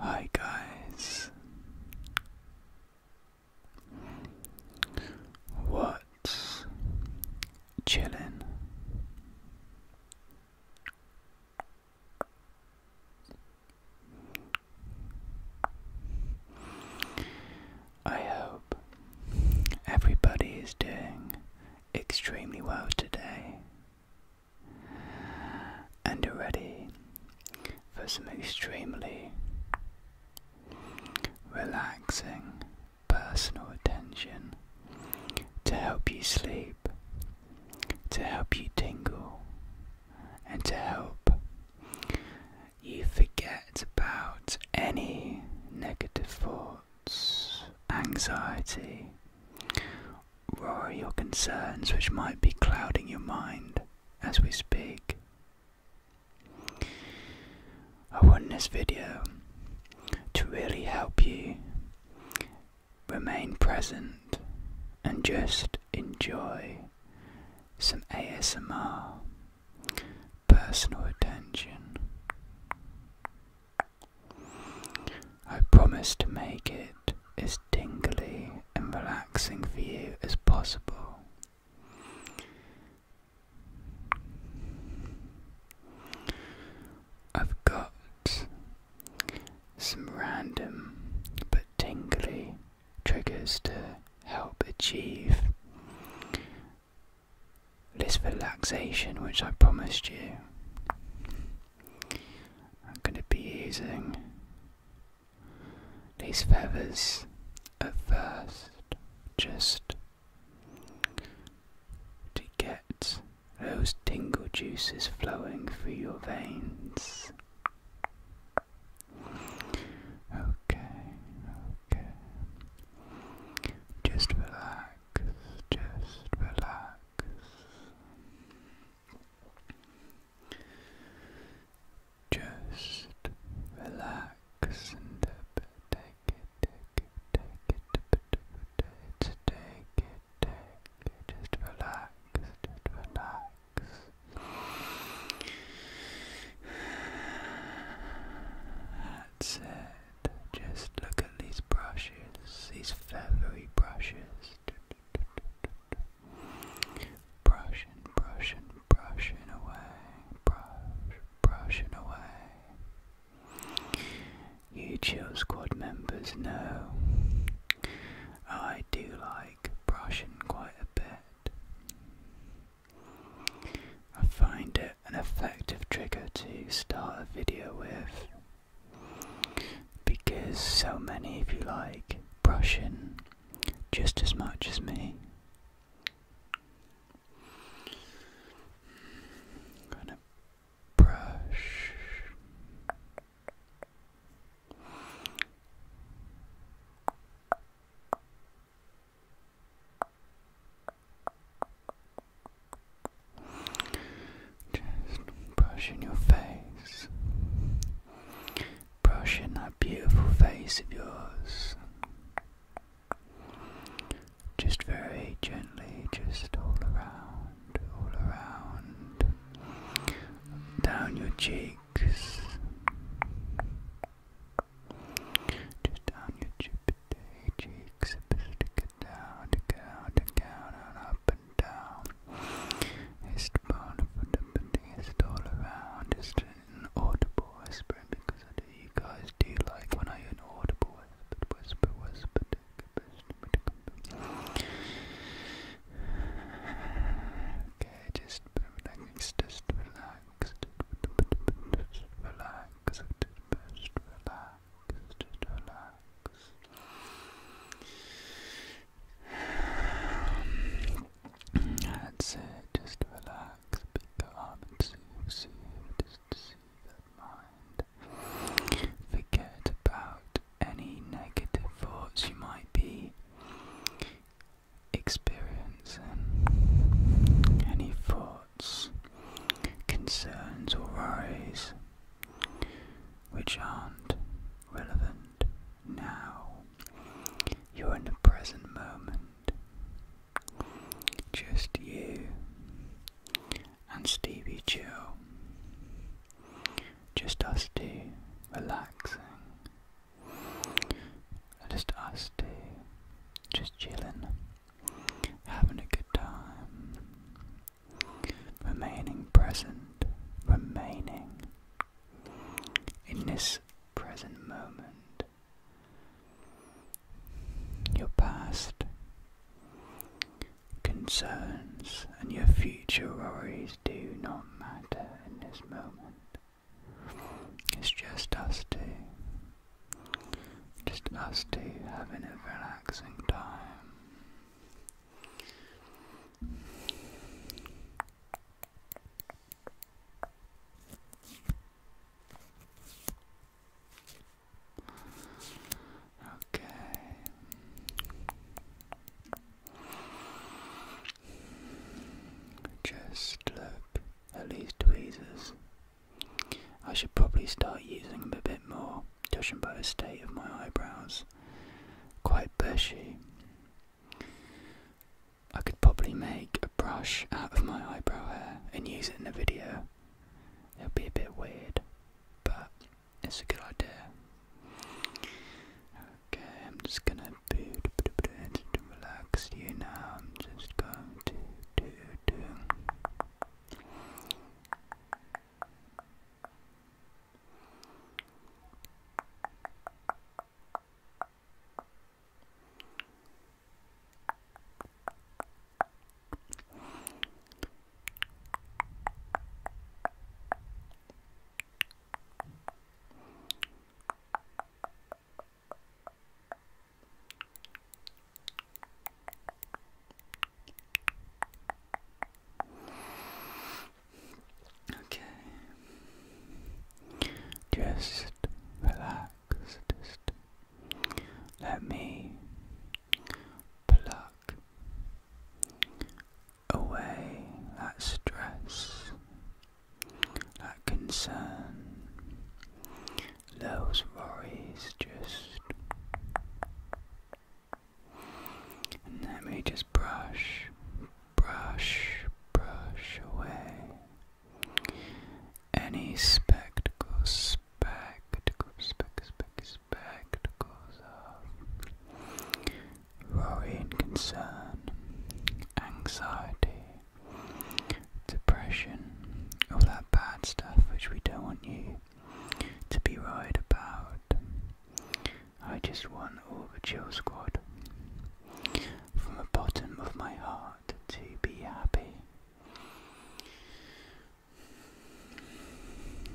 Hi, guys. What but chilling. I hope everybody is doing extremely well today and are ready for some extremely relaxing personal attention to help you sleep, to help you tingle, and to help you forget about any negative thoughts, anxiety, or your concerns which might be clouding your mind as we speak. I want this video to really help you remain present and just enjoy some ASMR personal attention. I promise to make it as tingly and relaxing for you as possible. I've got some random but tingly triggers to help achieve this relaxation which I promised you. I'm going to be using these feathers at first, just to get those tingle juices flowing through your veins. Okay, okay. Just relax, just relax. Just relax and take it take it, take it, just relax, just relax. That's it. Just look at these brushes, these feathery brushes. Brushing, brushing, brushing away, brush, brushing away. You chill squad members know I do like brushing quite a bit. I find it an effective trigger to start a video with because so many of you like brushing just as much as me. I'm brush. Just brushing your face, brushing that beautiful face of yours. Just very gently, just all around, all around, down your cheeks, just down your chipday cheeks, stick it down, down, down, and up and down. It's the bone of the it's all around, it's an audible whispering because I you guys do like when I inaudible whisper, whisper, whisper, whisper? Okay, just relax, just relax, just relax, just relax, just relax. That's it, just relax relax, become and soothe, mind. Forget about any negative thoughts you might be experiencing. Any thoughts, concerns or worries which aren't relevant now. You're in the present moment. Just you and Stevie Chill. Just us two relaxing. Just us two just chilling, having a good time, remaining present, remaining in this present moment. Your past concerns and your future worries do not matter in this moment. It's just us two. Just us two having a relaxing time. Okay. Just look at these tweezers. I should probably start using them a bit more, judging by the state of my eyebrows. Quite bushy. I could probably make a brush out of my eyebrow hair and use it in a video. It'll be a bit weird, but it's a good idea. Okay, I'm just gonna be relaxed you now. I'm just going to do do. Okay, Okay, just relax. Let me pluck away that stress, that concern, those worries just. let me just brush, brush, brush away any spectacles, spectacles, spectacles, spectacles of worry and concern, anxiety, depression, all that bad stuff which we don't want you to be right about. I just want all the chill squad from the bottom of my heart to be happy.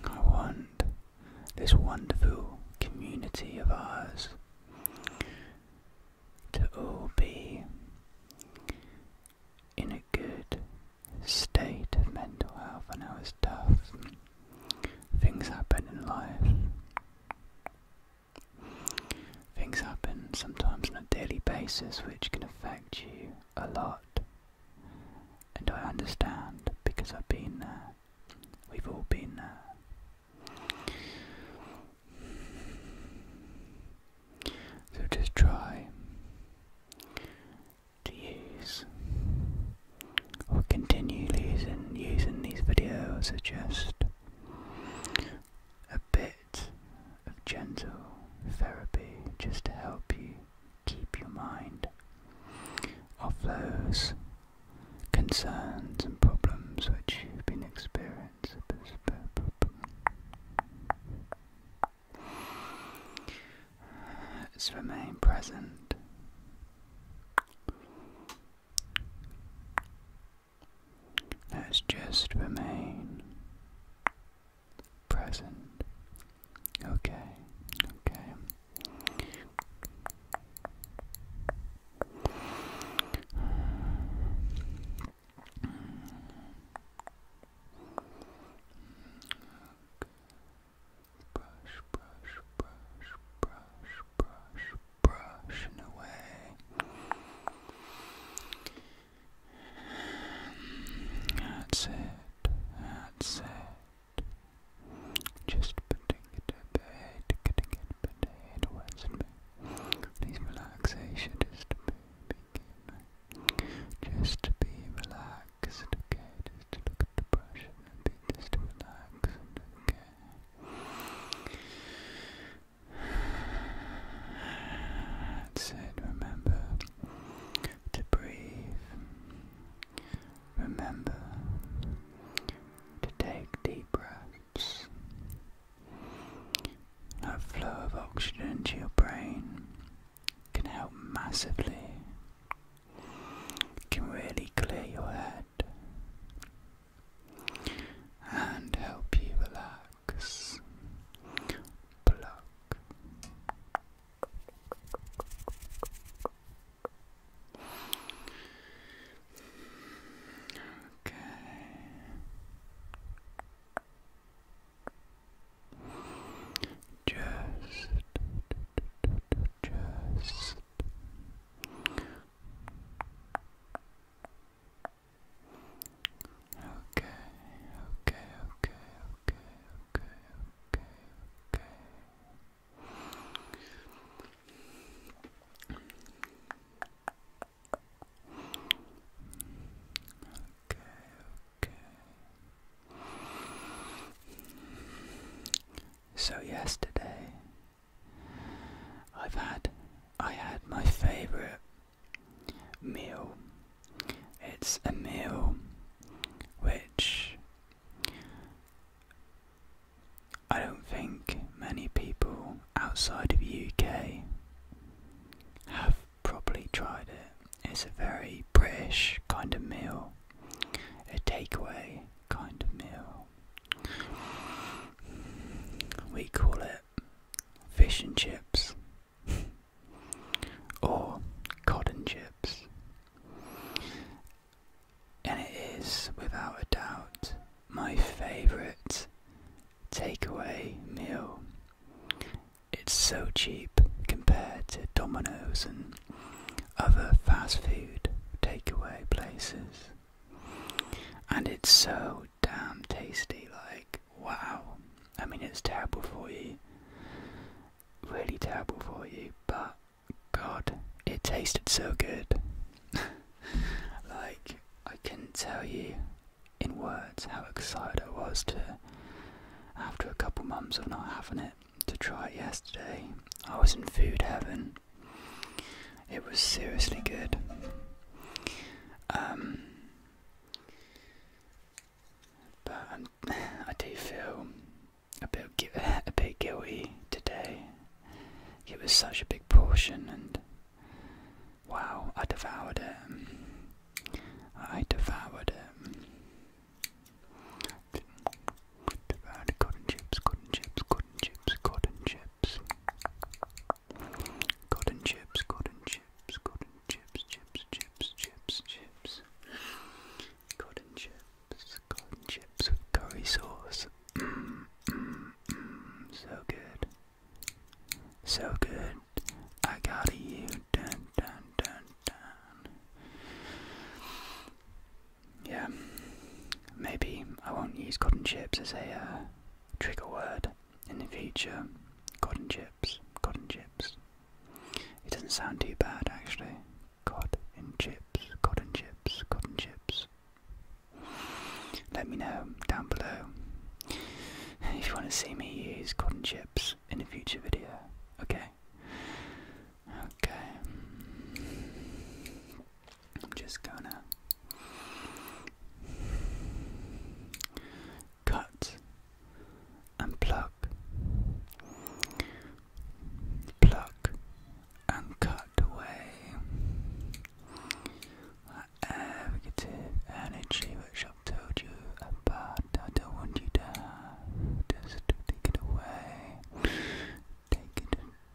I want this wonderful community of ours to all be in a good state of mental health. I know it's tough, things happen in life. Things happen sometimes on a daily basis which can affect you a lot. And I understand because I've been there. We've all been there. So just try to use or continue using, using these videos as just a bit of gentle therapy just to help you keep your mind off those concerns and problems which you've been experiencing. Let's remain present has just remain present. Okay, okay. Brush, brush, brush, brush, brush, brushing away. That's it, that's it. Just putting it to bed, getting it to bed, where's me? Please relaxation is to begin. Just to be relaxed, okay? Just to look at the brush and be just to relax, okay? That's it, remember to breathe. Remember to take deep breaths. A flow of oxygen to your brain can help massively. It can really clear your head and help you relax. Pluck. Okay. Just, just, Okay, okay, okay, okay, okay, okay, okay. Okay, okay. So, yesterday I've had I had my favorite meal. It's a meal which I don't think many people outside of the UK have probably tried it. It's a very British kind of meal, a takeaway kind of meal. We call it fish and chips or cotton chips. And it is, without a doubt, my favourite takeaway meal. It's so cheap compared to Domino's and other fast food takeaway places and it's so damn tasty. Like wow, I mean it's terrible for you, really terrible for you, but God, it tasted so good. like I can not tell you in words how excited I was to, after a couple months of not having it, to try it yesterday. I was in food heaven. It was seriously good. Um, but i do feel a bit a bit guilty today. It was such a big portion, and wow, I devoured it. I devoured it. Devoured cotton chips, cotton chips, cotton chips, cotton chips. Cotton chips, cotton chips, cotton chips, chips, chips, chips, chips. Cotton chips, cotton chips with curry sauce. Mm, mm, mm. so good. So good. I got you. Dun, dun, dun, dun yeah, maybe I won't use cotton chips as a uh, trigger word in the future. Cotton chips, cotton chips. It doesn't sound too bad actually. Cotton chips, cotton chips, cotton chips. Let me know down below if you want to see me use cotton chips in a future video. Okay. Okay. I'm just gonna cut and pluck, pluck and cut away that negative energy which i told you about. I don't want you to Just take it away. Take it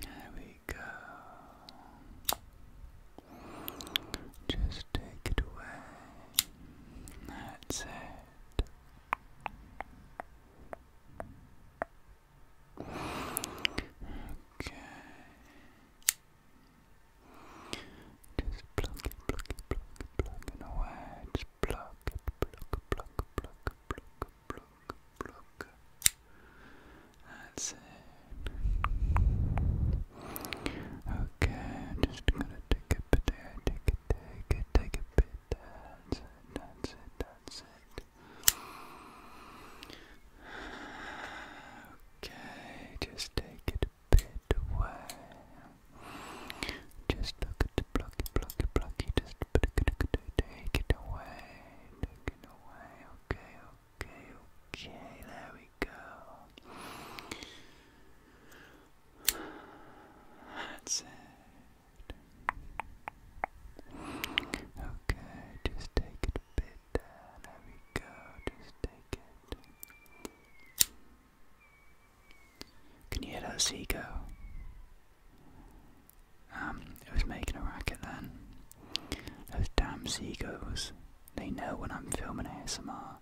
There we go. Just take it away. That's it. Okay. Just plug it, plug it, plug it, plug it away just pluck, pluck, pluck, pluck, pluck, pluck, pluck. That's it. Okay, just gonna take a bit take it, take it, take a bit. That's it, that's it, that's it. Okay, just take it a bit away. Just look at the blocky, blocky, blocky. Just take it away. Take it away. Okay, okay, okay. There we go. That's it. Okay, just take it a bit. There, there we go. Just take it. Can you hear that seagull? Um, it was making a racket then. Those damn seagulls. They know when I'm filming ASMR.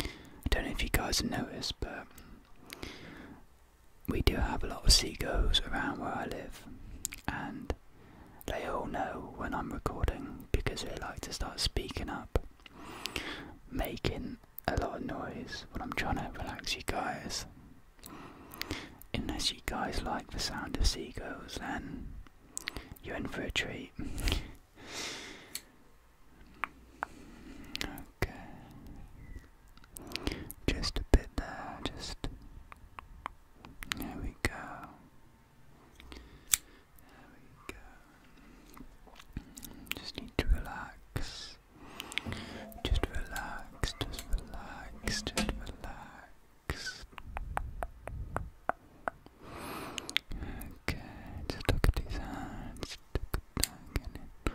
I don't know if you guys have noticed, but we do have a lot of seagulls around where I live, and they all know when I'm recording because they like to start speaking up, making a lot of noise But I'm trying to relax you guys. Unless you guys like the sound of seagulls, then you're in for a treat. okay. Just a bit there, just. There we go. There we go. Just need to relax. Just relax, just relax, just relax. Okay, just look at these hands. Look at that.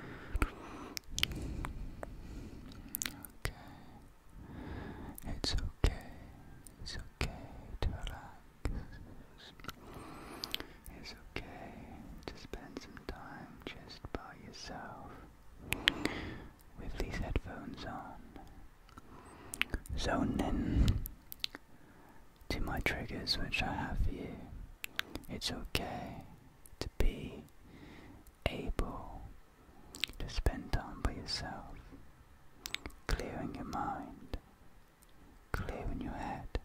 Okay, it's okay. It's okay to relax. It's okay to spend some time just by yourself with these headphones on. Zone in to my triggers which I have for you. It's okay to be able to spend time by yourself, clearing your mind, clearing your head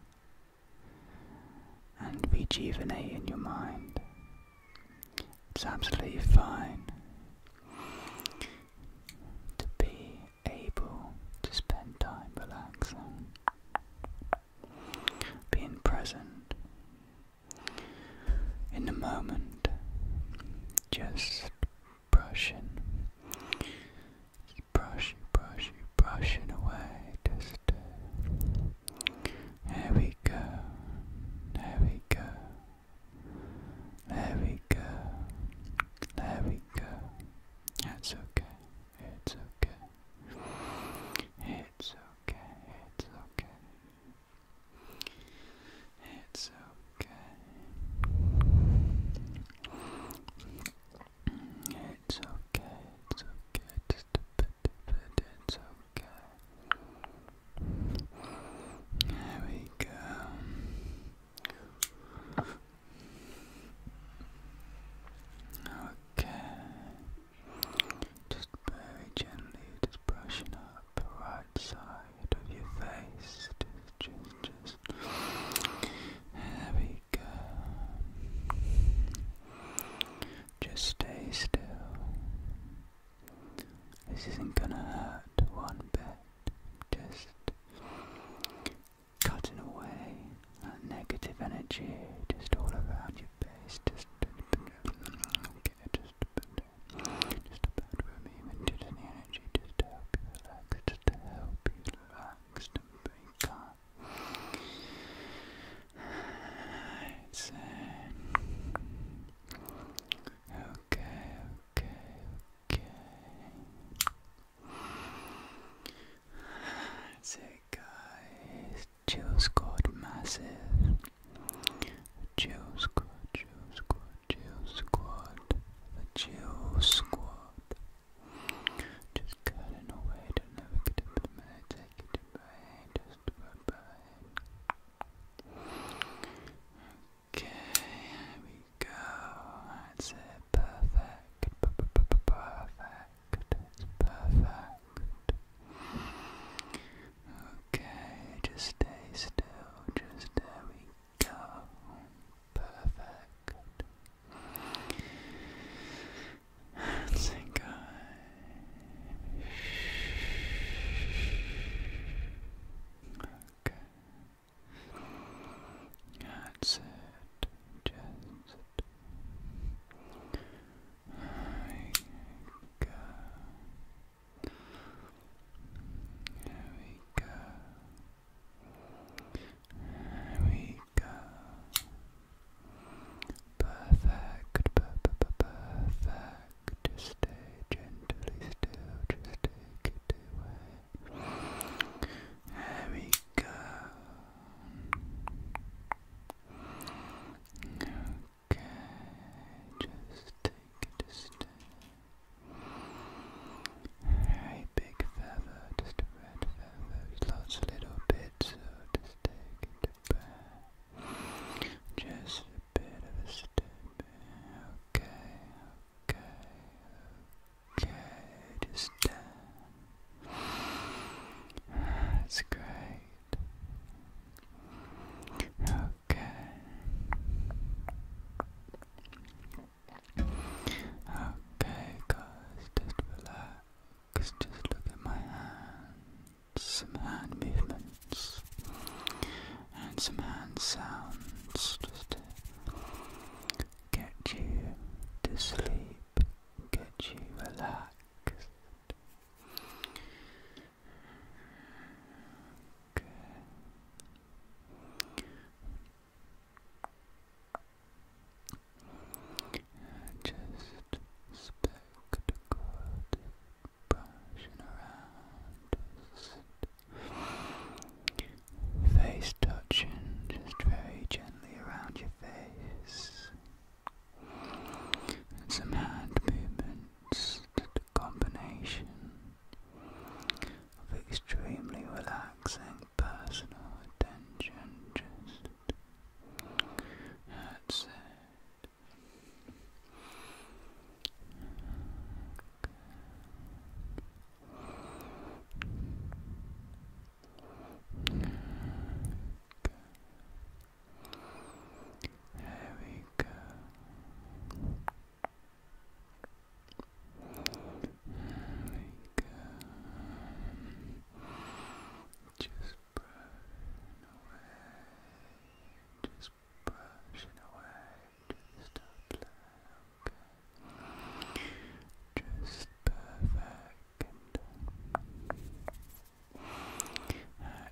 and be rejuvenate in your mind. It's absolutely fine to be able to spend time relaxing, being present in the moment, just brushing, brush, brush, brushing away, just. Uh, there we go. There we go. There we go. There we go. That's okay. It's okay. It's okay. It's okay. It's okay. It's okay. It's okay. Just a bit it, but it's okay. There we go. Okay. Just very gently, just brushing up the right side of your face. Just, just, just. we like um, just stay still. This isn't gonna hurt one bit. Just cutting away that negative energy just all around your face. Just okay, just just about removing just any energy just to help you relax, just to help you relax and be calm i say. Okay, okay, okay. That's guys. Jill scored massive. Jill squad, Jill squad, Jill squad, the squad, just cutting away, don't never get up in a minute, take it away, just about by Okay, here we go, that's it, perfect, perfect, perfect. Okay, just stay still, just there we go, perfect. Thank God. Okay. That's it. Just it. we go. There we go. we go. Perfect, perfect. Just stay gently still, just take it away. There we go. Okay, just take it a step. Hey, big feather, just red feathers, little bits, so just take it back. Just a bit of a step Okay, okay, okay, just down. That's great. Okay. Okay guys, just relax just look at my hands, some hand movements, and some hand sounds just to get you to sleep, get you relaxed. Okay. Just spectacled, brushing around, just face touching, just very gently around your face, and some hand movements, the combination of extremely relaxing personal attention, just that's it. Good. Good. we go. we go. Just brushing away, just brushing away, just apply, Just perfect and done.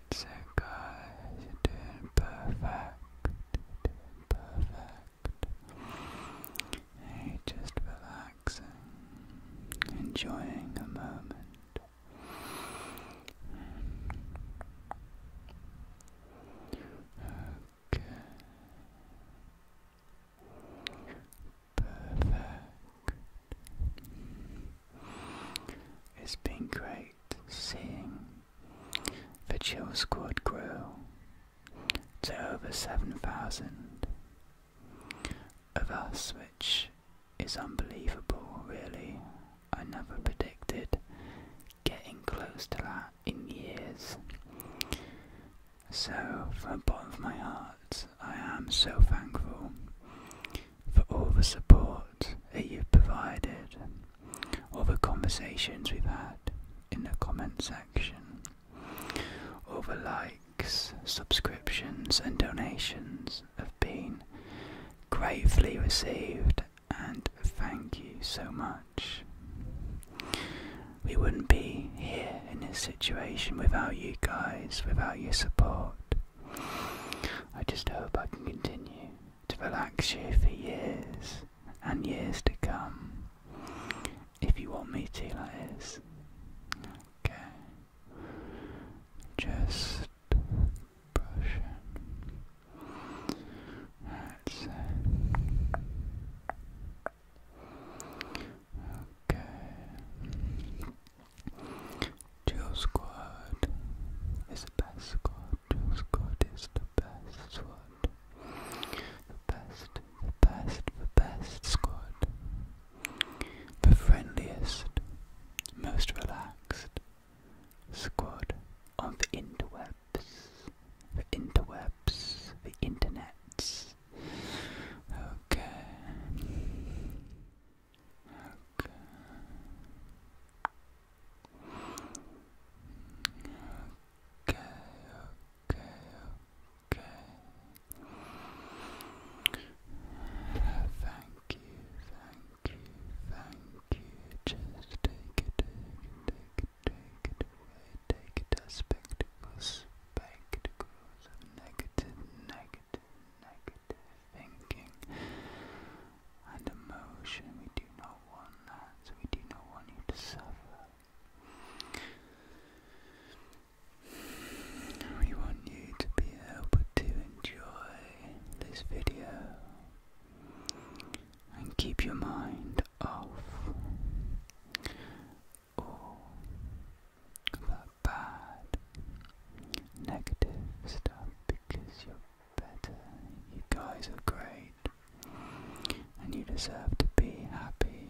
That's guys, you're doing perfect, you're doing perfect enjoying a moment. Okay. Perfect. It's been great seeing the Chill Squad grow to over 7,000 of us, which is unbelievable, really. I never predicted getting close to that in years. So, from the bottom of my heart, I am so thankful for all the support that you've provided, all the conversations we've had in the comment section, other likes, subscriptions, and donations have been gratefully received, and thank you so much. We wouldn't be here in this situation without you guys, without your support. I just hope I can continue to relax you for years and years to come if you want me to, that is. Okay. Just brush Okay. Dual squad is the best squad. Dual squad is the best squad the best, the best, the best squad. The friendliest, most relaxed squad on the interwebs. The interwebs, the internets. Okay. Okay. Okay, okay, Okay. Thank you, thank you, thank you. Just take it, take it, take it, away. Take it spectacles, spectacles negative, negative, negative thinking and emotion. We do not want that. we do not want you to suffer. We want you to be able to enjoy this video and keep your mind off all that bad, negative stuff because you're better. You guys are great and you deserve to be happy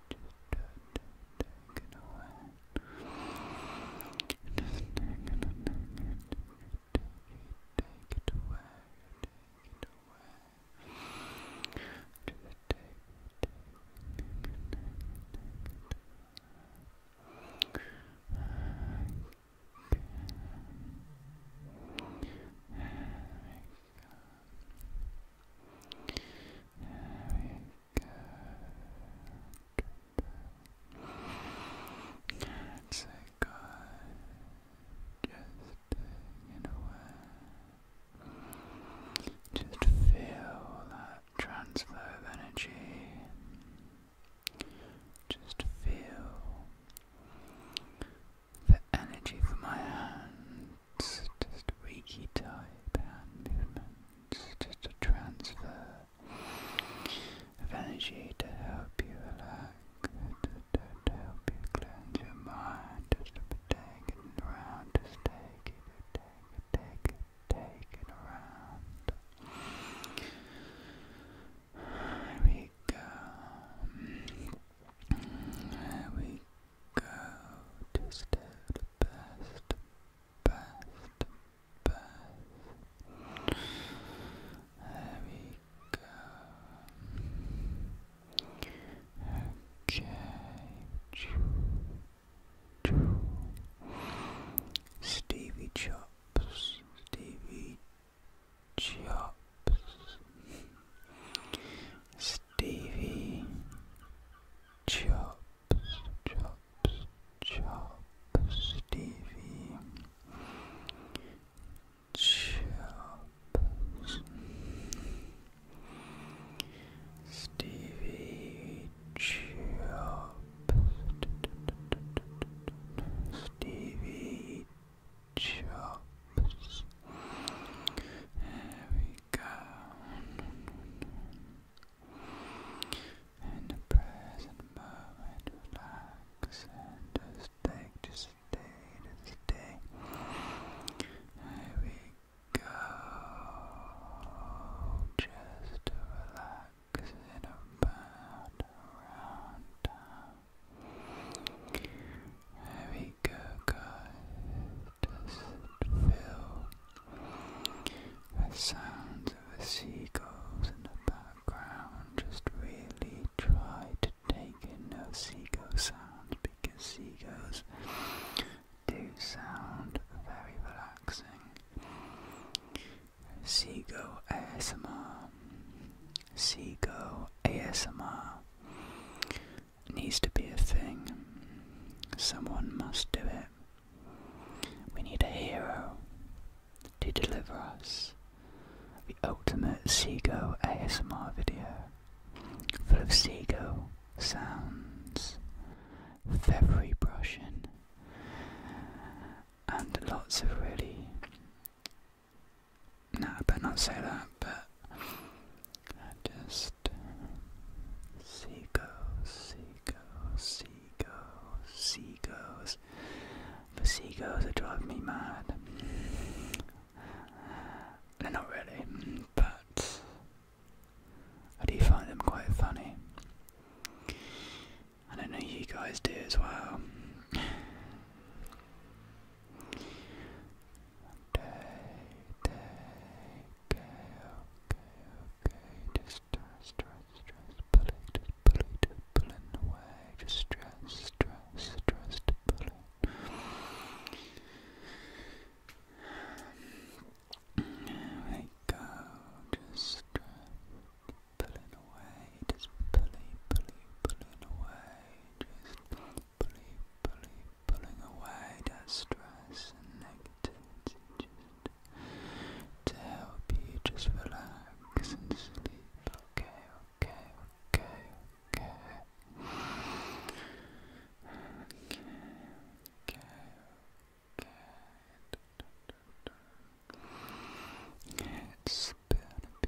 take it away. Just take it, take take it away, take it away. Just take take it, take it, take it away go. It's a good, just in a way, just feel that transfer of energy. Just feel the energy from my hand movements, just reiki type hand movement. just a transfer of energy to help you relax, to, to, to help you cleanse your mind, just to take it around, just take it, take it, take it, take it around. There we go. There we go just at the best, best, best. There we go. Okay. Stevie Chops, Stevie Chops. Stevie chop, chop, chop, Stevie chop, Stevie chop, Stevie chop. There we go. In the present moment, relax and just take, just stay, just stay. Here we go. Just relax and about around time. There we go, guys. Just fill the sounds of the seagulls in the background. Just really try to take in those seagull sounds because seagulls do sound very relaxing. Seagull ASMR. Seagull ASMR needs to be a thing. Someone must do it. We need a hero to deliver us the ultimate Seago ASMR video, full of Seago sounds, feathery brushing, and lots of really no, I better not say that, but just seagulls, seagulls, seagulls, seagulls. The seagulls are driving me mad. They're not really, but I do find them quite funny. I don't know you guys do as well. Day, day, okay, okay, okay. Just stress, stress, stress, pulling, pulling, pulling away. Just stress, stress, stress, pulling. There we go. Just pulling away. Just pulling, pulling, pulling away. Just Simply pulling, pulling away that stress and negativity to help you just relax and sleep. Okay, okay, okay, okay. Okay, okay, okay. It's gonna be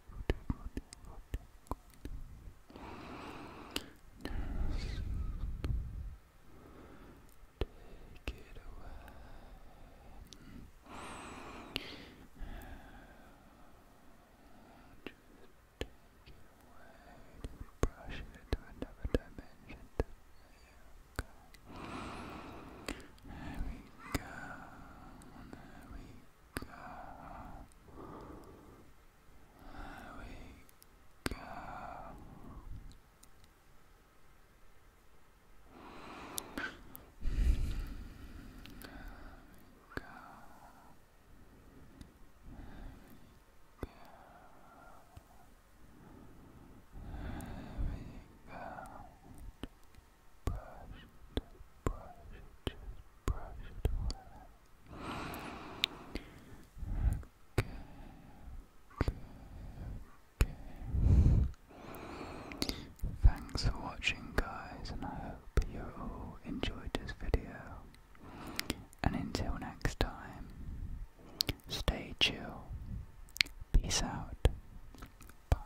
Yes. Take it away. Just take it away. Brush it into another dimension. There we go. There we there we go. we go. we go. we go. Thanks for watching guys and I hope you all enjoyed this video. And until next time, stay chill. Peace out. Bye.